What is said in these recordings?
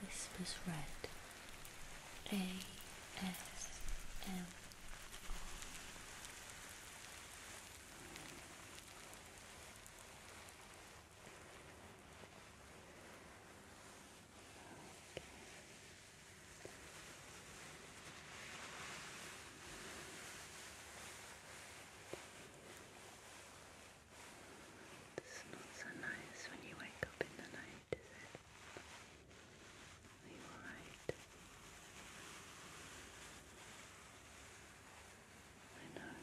Whispers Red ASM. It's not so nice when you wake up in the night, is it? Are you alright? I know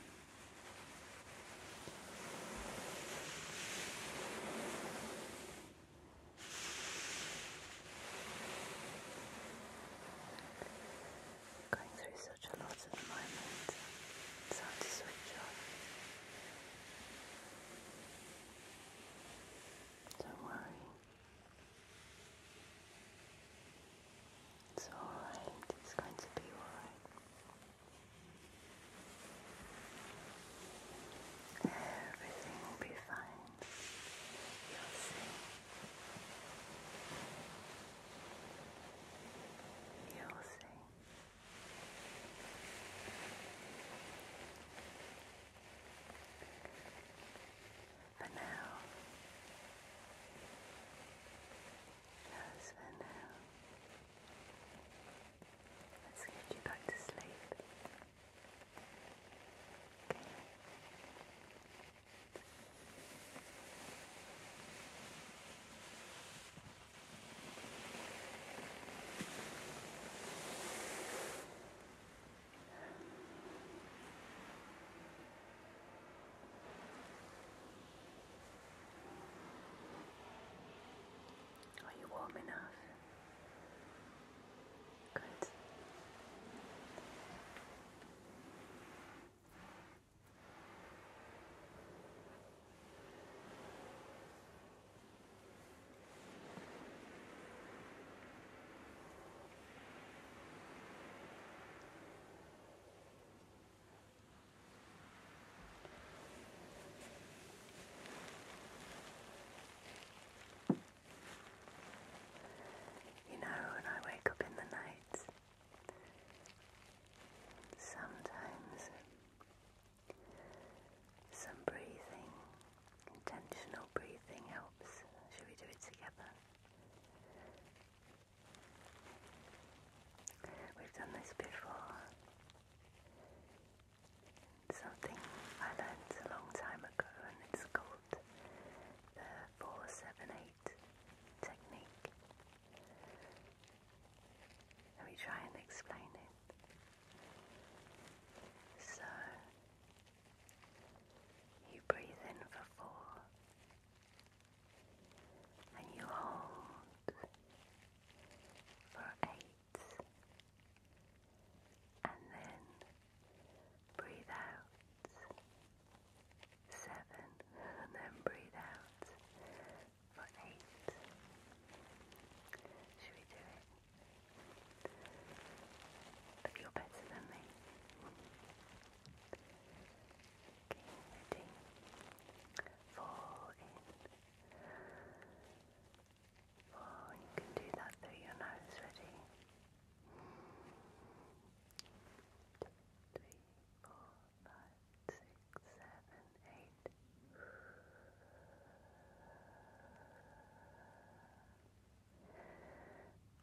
going through such a lot at the moment. It's hard to switch off. Don't worry. It's alright, it's going to be alright. Everything will be fine. You'll see. You'll see. For now, just for now, let's get you back to sleep. Okay. Are you warm enough? Good. You know, when I wake up in the night, Sometimes some breathing, intentional breathing helps. Should we do it together? We've done this before. Something I learned a long time ago, and it's called the 478 technique. Let me try and explain it. So, you breathe in for four, and you hold for eight, and then breathe out seven, and then breathe out for eight. Should we do it? But you're better than me. Okay, ready? Fall in. Fall, you can do that through your nose, ready? Two, three, four five, six, seven, eight.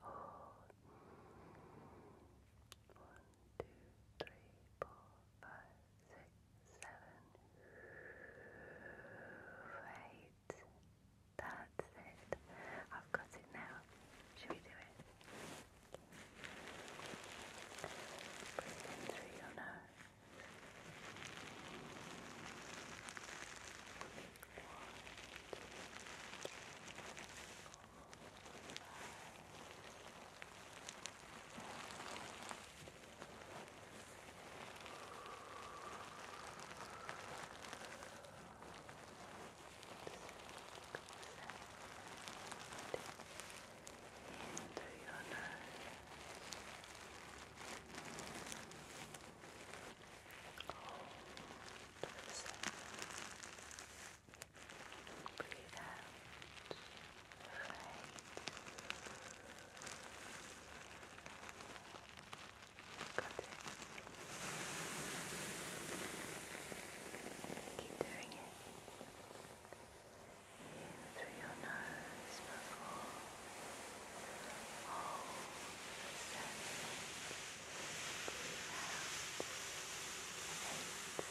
Hold. That's it. I've got it now. Should we do it? Breathe in through your nose. One, in through your nose. Hold for a second. Breathe out. Right. Keep doing it in through your nose before all the scents breathe out you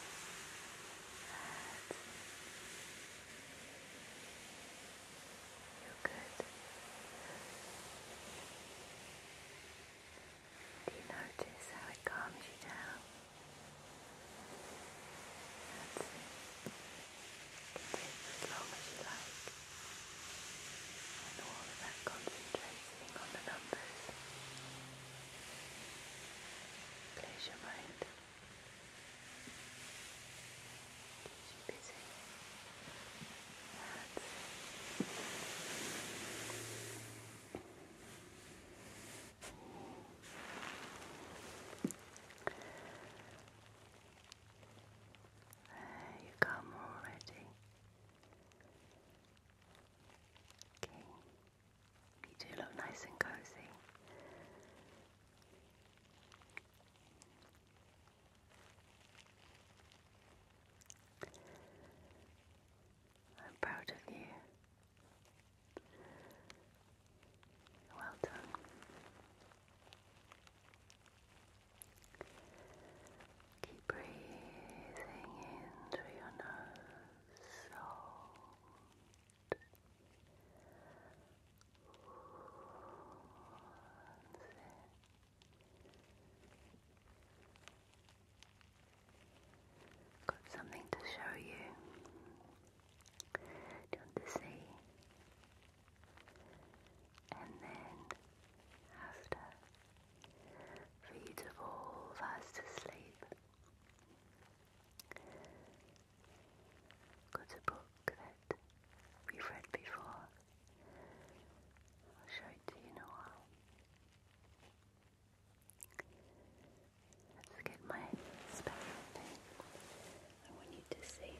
You're good. Do you notice how it calms you down? That's it. You can as long as you like. And of concentrating on the numbers. Clears your mind. Keeps you busy. That's it. There you come already. Okay. You do look nice and cozy. I'm proud of you. Well done. Keep breathing in through your nose. Got something to show you. Do you want to see? And then after, for you to fall fast asleep. Got a book that we've read before. show it to you in a while. Let's get my special thing. I want you to see.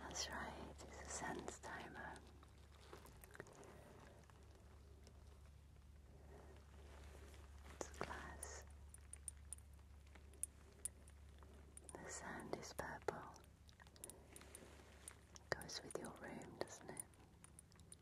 That's right, it's a sense timer. It's glass. The sand is purple. Goes with your room, doesn't it?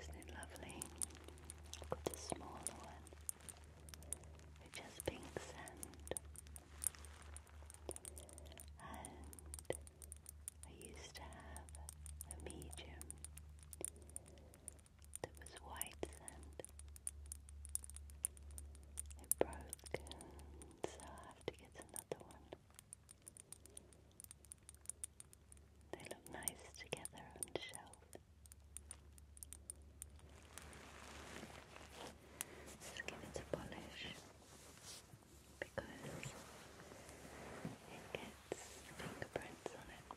Isn't it lovely? I've got a smaller one which has pink sand. And I used to have a medium that was white sand. It broke, so I have to get another one. They look nice together on the shelf. Just give it a polish because it gets fingerprints on it.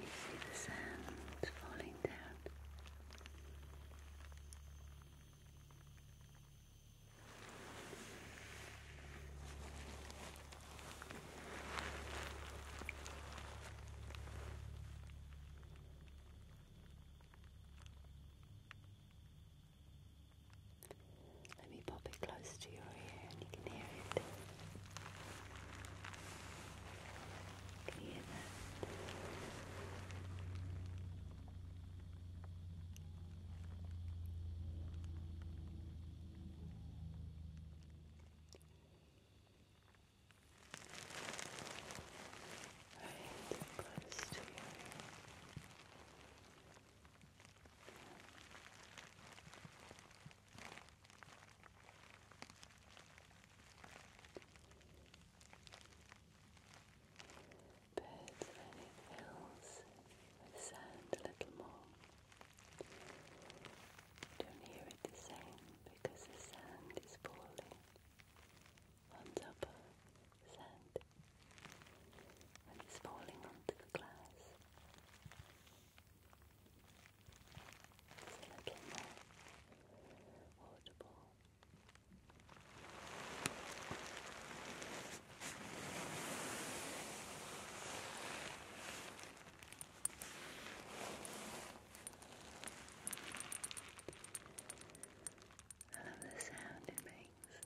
You see the sand falling down. Let me pop it close to your ear and you can hear it. hear that? Right, close to your ear. Birds when it fills with sand a little more. Don't hear it the same because the sand is falling on top sound when it's falling onto the glass. It's a little audible. I love the sound it makes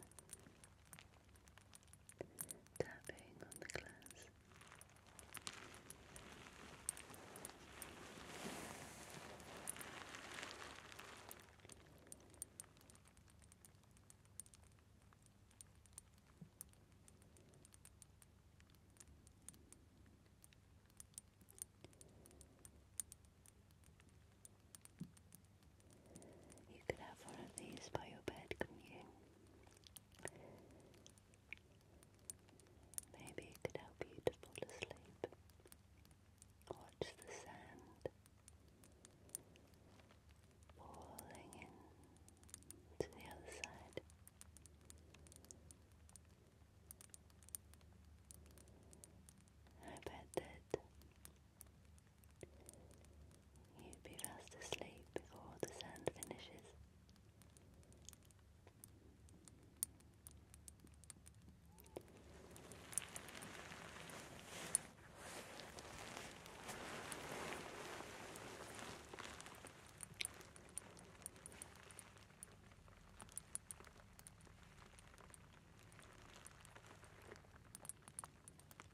tapping on the glass. You could have one of these by your bed, couldn't you? Maybe it could help you to fall asleep. Watch the sand falling in to the other side. I bet that You'd be fast asleep before the sand finishes.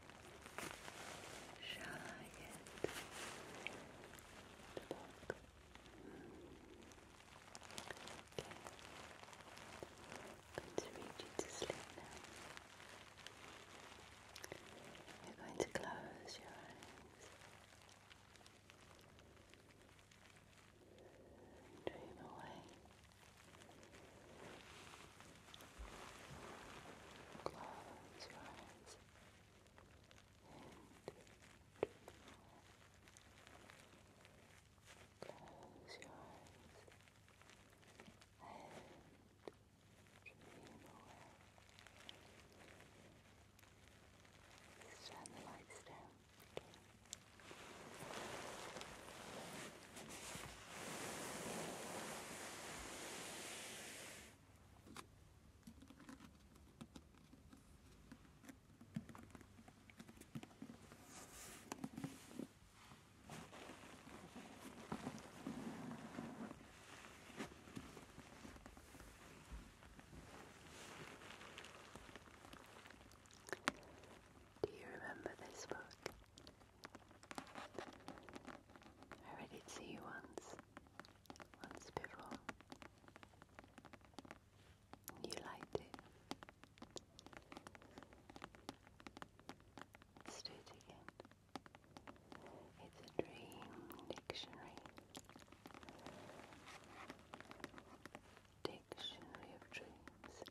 going to read to sleep now. You're going to close your eyes dream away. Close your eyes. Close your eyes and dream away. Turn the lights down. Do you remember this book? I read it to you once once before. You liked it. do it again. It's a dream dictionary. Dictionary of dreams.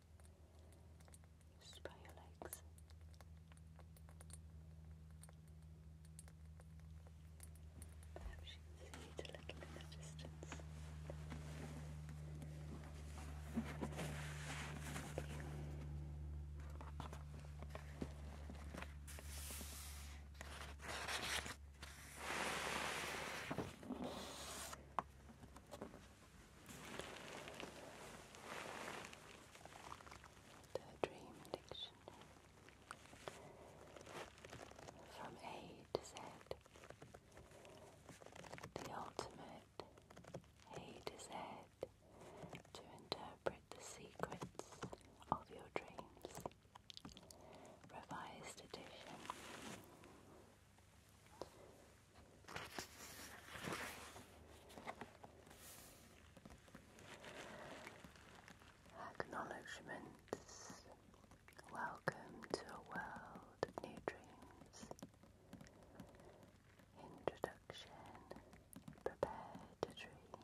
Just your legs. Perhaps you can see it a little bit at distance. Thank you. The Dream Dictionary. From A to Z. The ultimate A to Z to interpret the secrets of your dreams. Revised edition. Acknowledgements. Welcome to a world of new dreams. Introduction. Prepare to dream.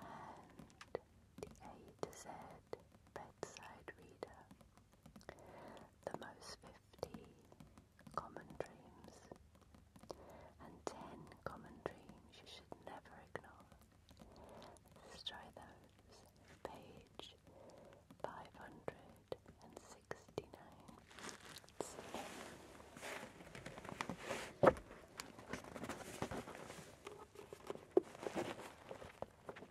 And the A to Z bedside reader the most 50 common dreams and 10 common dreams you should never ignore. Let's try those. Page 569.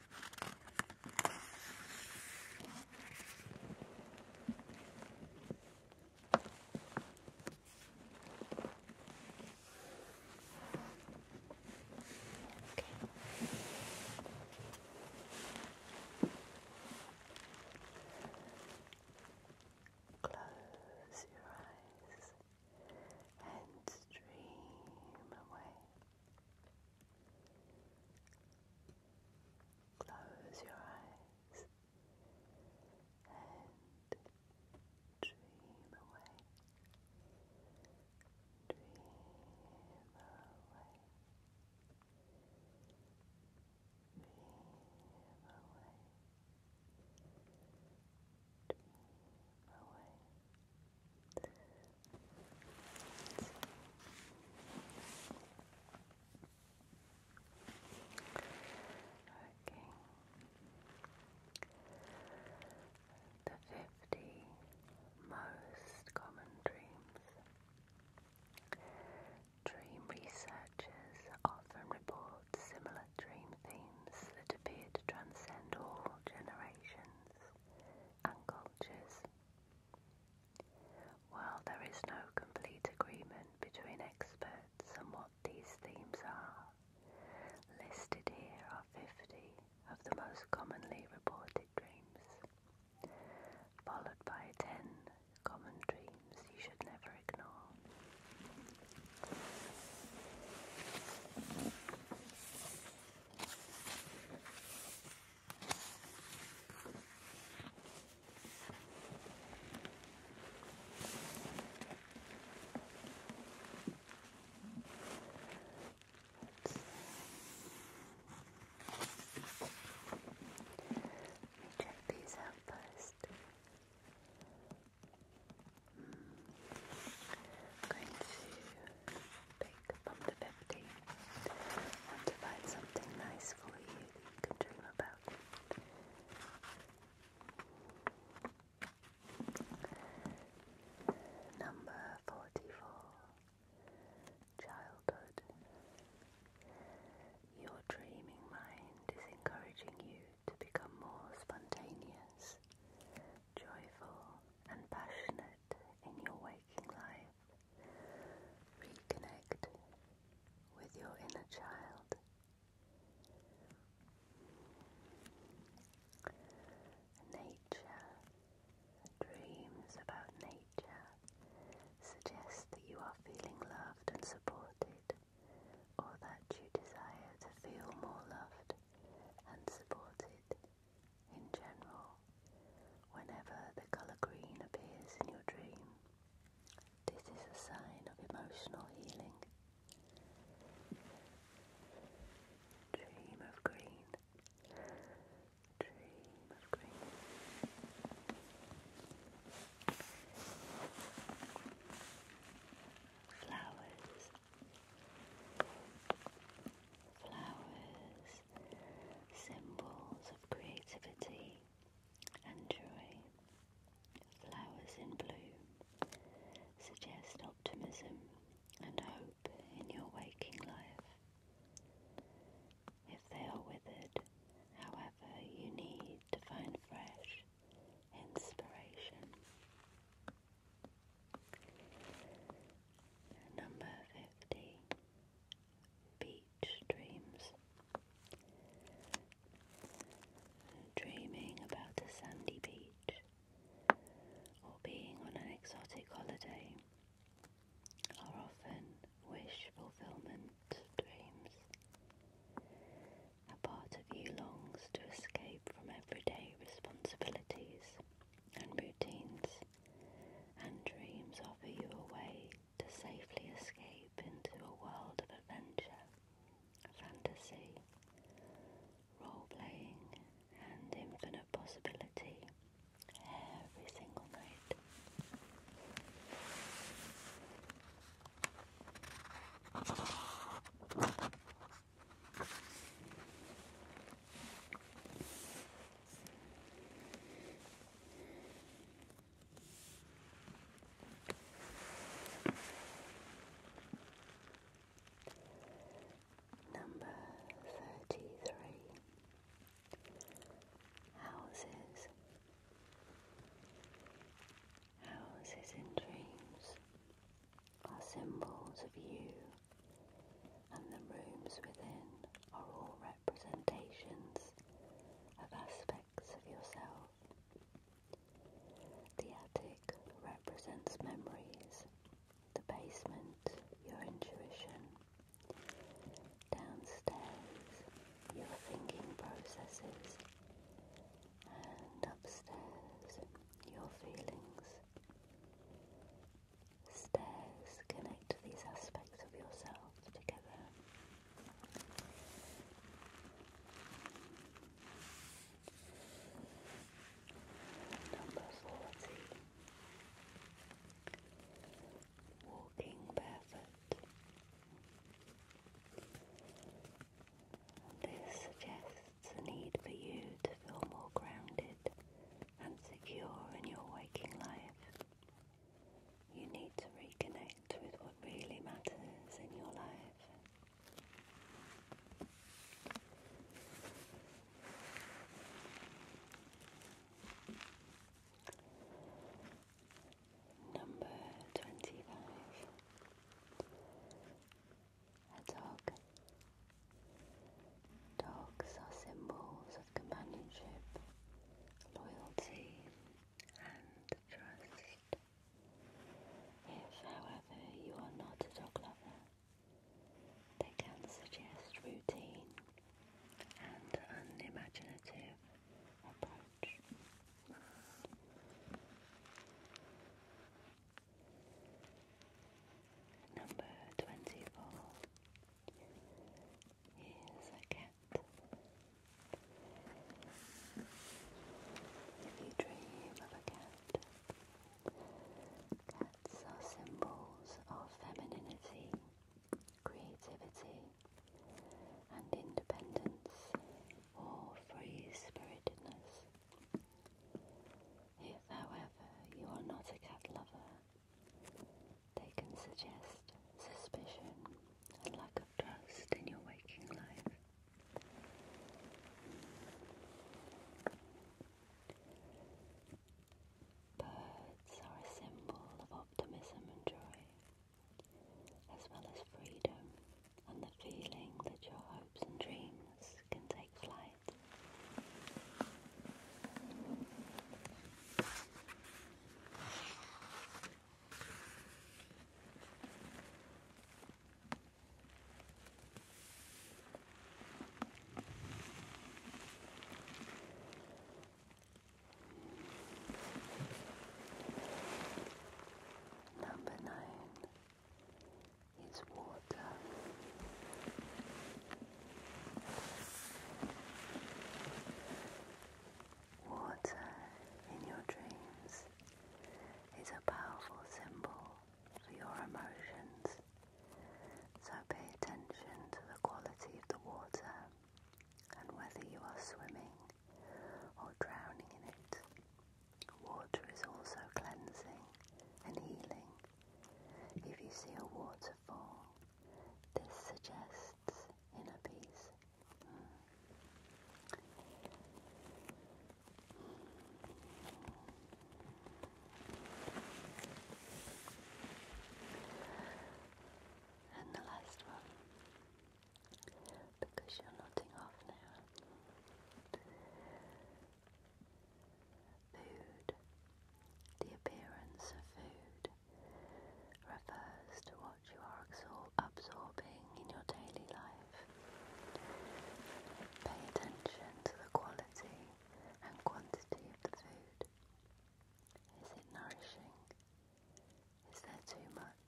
Close your eyes and dream away. Close your eyes and dream away. Dream away. Dream away. Dream away. The fifty most common dreams. Dream researchers often report similar dream themes that appear to transcend all generations and cultures. While there is no complete agreement between experts on what these themes are, listed here are 50 of the most commonly reported dreams, followed by 10 common dreams you should never ignore. Let's check these out first. Mm. I'm going to pick break from the to find something nice for you that you can dream about. Number 44 Childhood. Your dreaming mind is encouraging you to become more spontaneous, joyful, and passionate in your waking life. Reconnect with your inner child. Nature. Dreams about nature suggest that you are feeling loved and supported, or that you desire to feel more loved and supported. In general, whenever the color green appears in your dream, this is a sign of emotional healing. Dream of green. Dream of green. Flowers flowers, symbols of creativity and joy. Flowers in bloom suggest optimism and hope in your waking life. If they are withered, however, you need to find fresh inspiration. Number fifty Beach Dreams Dreaming about a sandy beach or being on an exotic holiday are often wish fulfillment dreams. A part of you longs to escape from everyday responsibilities and routines and dreams offer you a way to safely escape into a world of adventure, fantasy, role playing, and infinite possibility every single night. Number thirty three Houses Houses in Dreams are symbols of you, and the rooms within are all representations of aspects of yourself. The attic represents memories, the basement, your intuition, downstairs, your thinking processes, and upstairs, your feelings. Stairs connect these aspects of yourself together. Number 40 Walking Barefoot. This suggests a need for you to feel more grounded and secure in your waking life. You need to reconnect with what really matters in your life. Number 25 a dog. Dogs are symbols of companionship, loyalty, and trust. If, however, you are not a dog lover, they can suggest routine and unimaginative approach. Number twenty four is a cat. If you dream of a cat, cats are symbols of femininity, creativity, and independence or free spiritedness. If, however, you are not a cat lover, they can suggest suspicion and lack of trust in your waking life. Birds are a symbol of optimism and joy, as well as freedom and the feeling that your hopes and dreams can take Number nine is water. Water in your dreams is a powerful symbol for your emotions, so pay attention to the quality of the water and whether you are swimming or drowning in it. Water is also cleansing and healing. If you see a waterfall, this suggests inner peace. And the last one, because you're nodding off now. Food. The appearance of food refers to what you are absorbing in your daily life. Pay attention to the quality and quantity of the food. Is it nourishing? Is there too much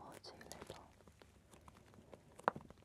or too little?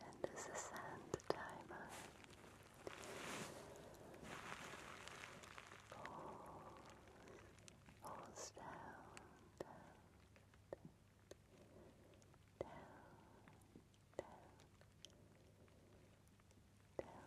And as the sand timer. Pulls, pulls down, down, down, down, down,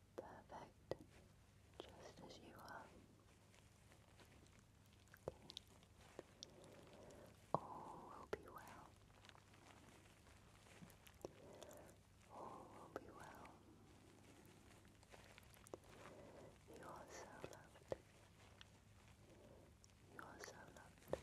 perfect, just as you are. All will be well. All will be well. You are so loved. You are so loved.